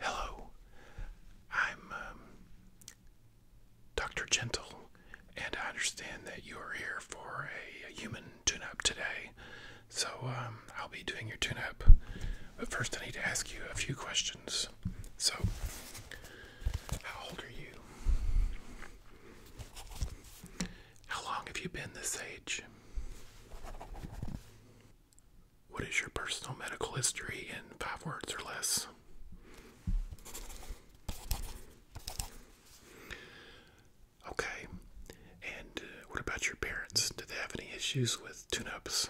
Hello, I'm um, Dr. Gentle, and I understand that you are here for a, human tune up today. So um, I'll be doing your tune up. But first, I need to ask you a few questions. So, how old are you? How long have you been this age? What is your personal medical history in five words or less? Okay. And uh, what about your parents? Did they have any issues with tune ups?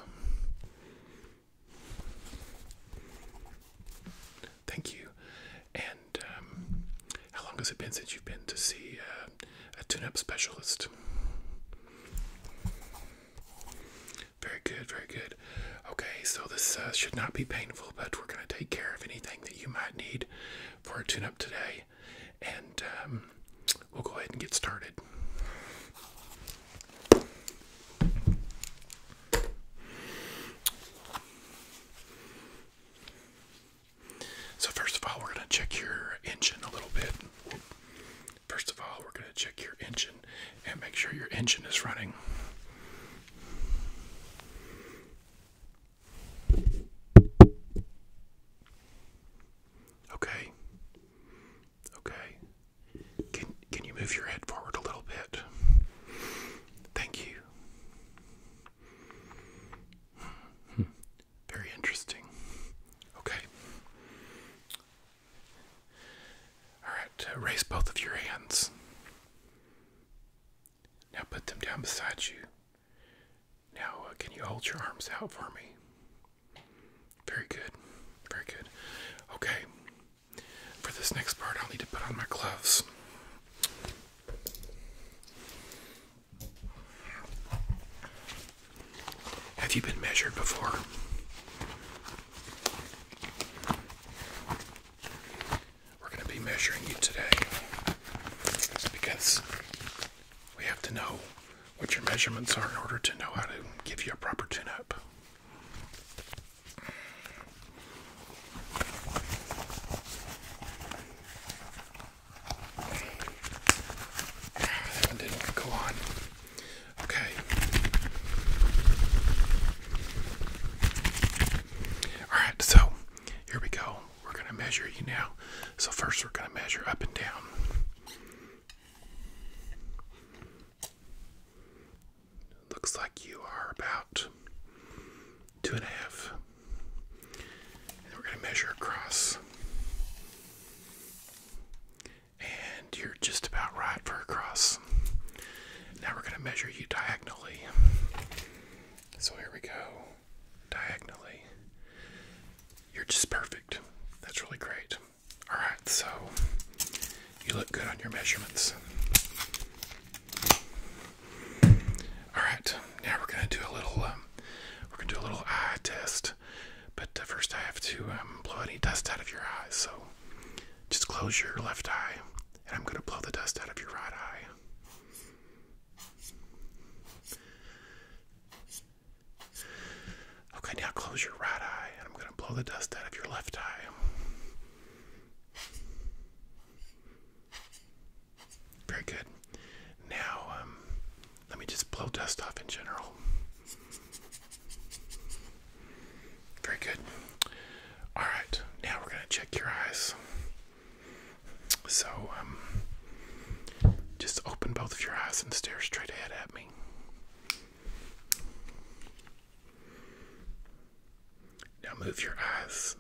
Thank you. And um, how long has it been since you've been to see uh, a tune up specialist? Very good, very good. Okay, so this uh, should not be painful, but we're going to take care of anything that you might need for a tune up today. And um, we'll go ahead and get started. So, first of all, we're going to check your engine a little bit. First of all, we're going to check your engine and make sure your engine is running. Okay. Okay. Can can you move your head forward a little bit? Thank you. Hmm. Very interesting. Okay. All right, uh, raise both of your hands. Now put them down beside you. Now, uh, can you hold your arms out for me? Very good. Very good. Okay. For this next part, I'll need to put on my gloves. Have you been measured before? We're going to be measuring you today because we have to know what your measurements are in order to know how to give you a proper tune up. I didn't go on. Okay. Alright, so here we go. We're going to measure you now. So, first, we're going to measure up and down. Looks like you are about two and a half and we're going to measure across. And you're just about right for across. Now we're going to measure you diagonally. So here we go. Diagonally. You're just perfect. That's really great. Alright, so you look good on your measurements. All right, now we're gonna do a little um, we're gonna do a little eye test, but uh, first I have to um, blow any dust out of your eyes. So just close your left eye, and I'm gonna blow the dust out of your right eye. Okay, now close your right eye, and I'm going to blow the dust out of your left eye. Very good. Now, um, let me just blow dust off in general. Very good. All right, now we're going to check your eyes. So, um, just open both of your eyes and stare straight ahead at me. Now move your eyes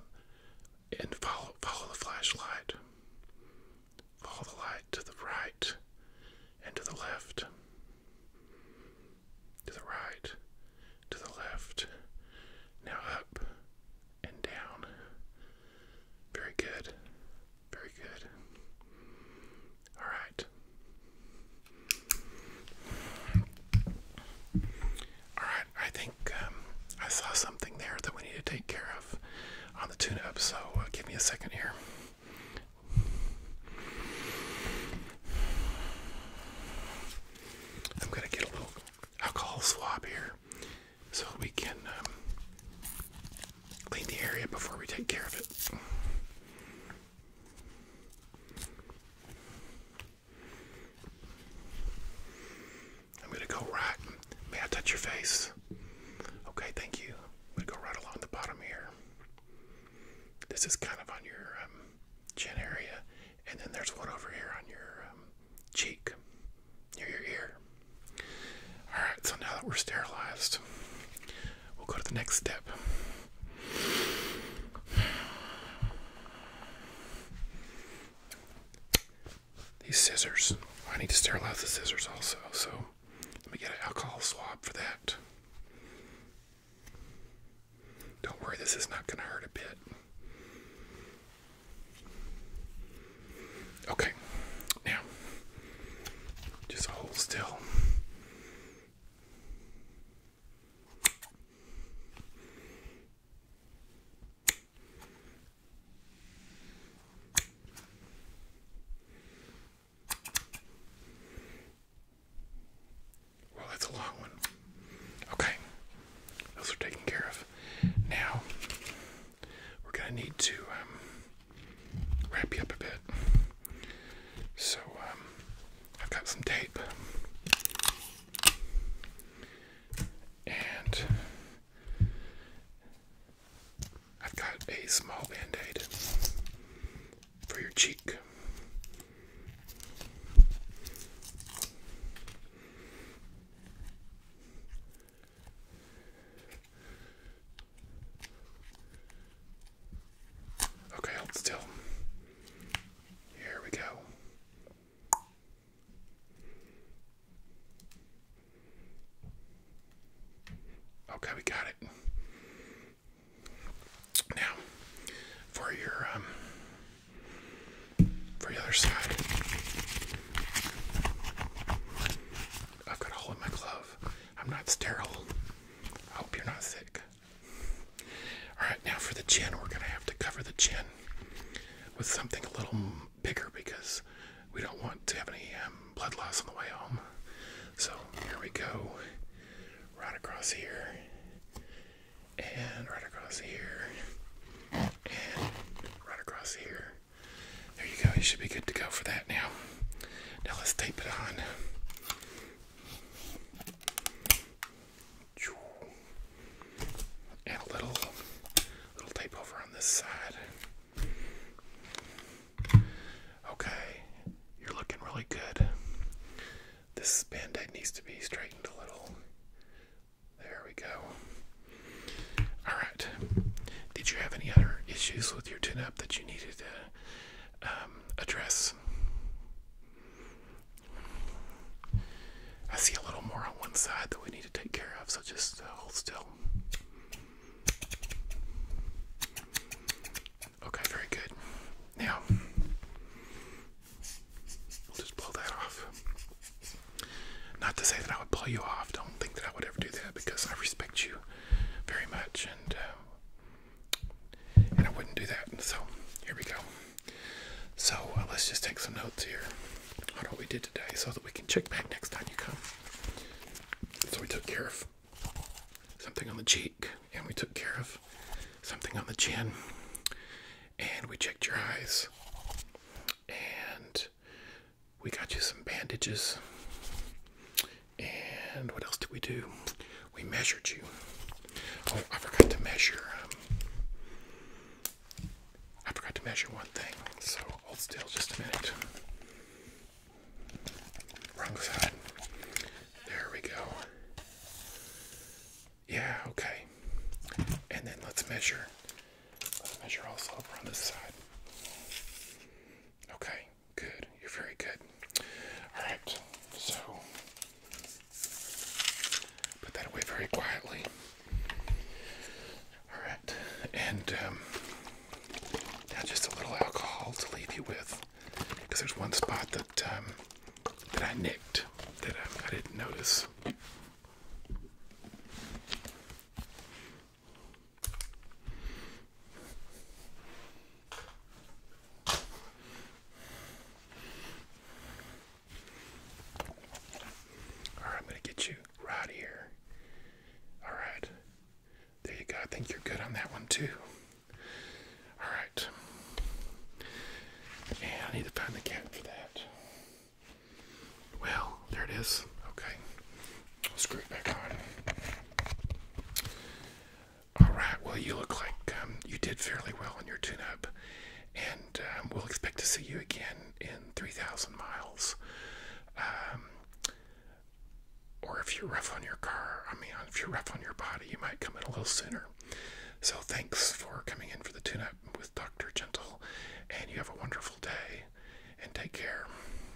and follow follow the flashlight. Follow the light to the right and to the left. To the right, to the left. Now up and down. Very good. Very good. All right. Alright, I think um, I saw something there that we need to take care of on the tune up, so uh, give me a second here. I'm going to get a little alcohol swab here so we can um, clean the area before we take care of it. I'm gonna go right. May I touch your face? Okay, thank you. I'm gonna go right along the bottom here. This is kind of on your um, chin area, and then there's one over here on your um, cheek, near your ear. All right, so now that we're sterilized, we'll go to the next step. These scissors. I need to sterilize the scissors also, so let me get an alcohol swab for that. Don't worry, this is not going to hurt a bit. Okay, now just hold still. Well, that's a long one. Okay, those are taken care of. Now, we're going to need to um, wrap you up a bit. So, um, I've got some tape. And I've got a small band aid for your cheek. Okay, still. Here we go. Okay, we got it. Now, for your um, for the other side, I've got a hole in my glove. I'm not sterile. I hope you're not sick. All right, now for the chin, we're going to have to cover the chin with something a little bigger because we don't want to have any um, blood loss on the way home. So here we go, right across here, and right across here, and right across here. There you go, you should be good to go for that now. Now let's tape it on and a little little tape over on this side. Okay, you're looking really good. This band needs to be straightened a little. There we go. Alright. Did you have any other issues with your tin up that you needed to um, address? I see a little more on one side that we need to take care of, so just uh, hold still. Okay, very good. Now, we'll just blow that off. Not to say that I would pull you off, don't think that I would ever do that because I respect you very much and um, and I wouldn't do that. So here we go. So uh, let's just take some notes here on what we did today, so that we can check back next time you come. So we took care of something on the cheek, and we took care of something on the chin, and we checked your eyes, and we got you some bandages. And what else did we do? We measured you. Oh, I forgot to measure. Um, I forgot to measure one thing. So hold still just a minute. Wrong side. There we go. Yeah, okay. And then let's measure. Let's measure also over on this side. Okay, good. You're very good. Alright, so put that away very quietly. Alright, and um, now just a little alcohol to leave you with because there's one spot that um, that I nicked that um, I didn't notice. All right, I'm going to get you right here. All right. There you go. I think you're good on that one, too. All right. And I need to find the cap for that. Well, there it is. Okay screw it back on. All right. Well, you look like um, you did fairly well on your tune-up, and um, we'll expect to see you again in three thousand miles. Um, or if you're rough on your car, I mean, if you're rough on your body, you might come in a little sooner. So thanks for coming in for the tune-up with Dr. Gentle, and you have a wonderful day, and take care.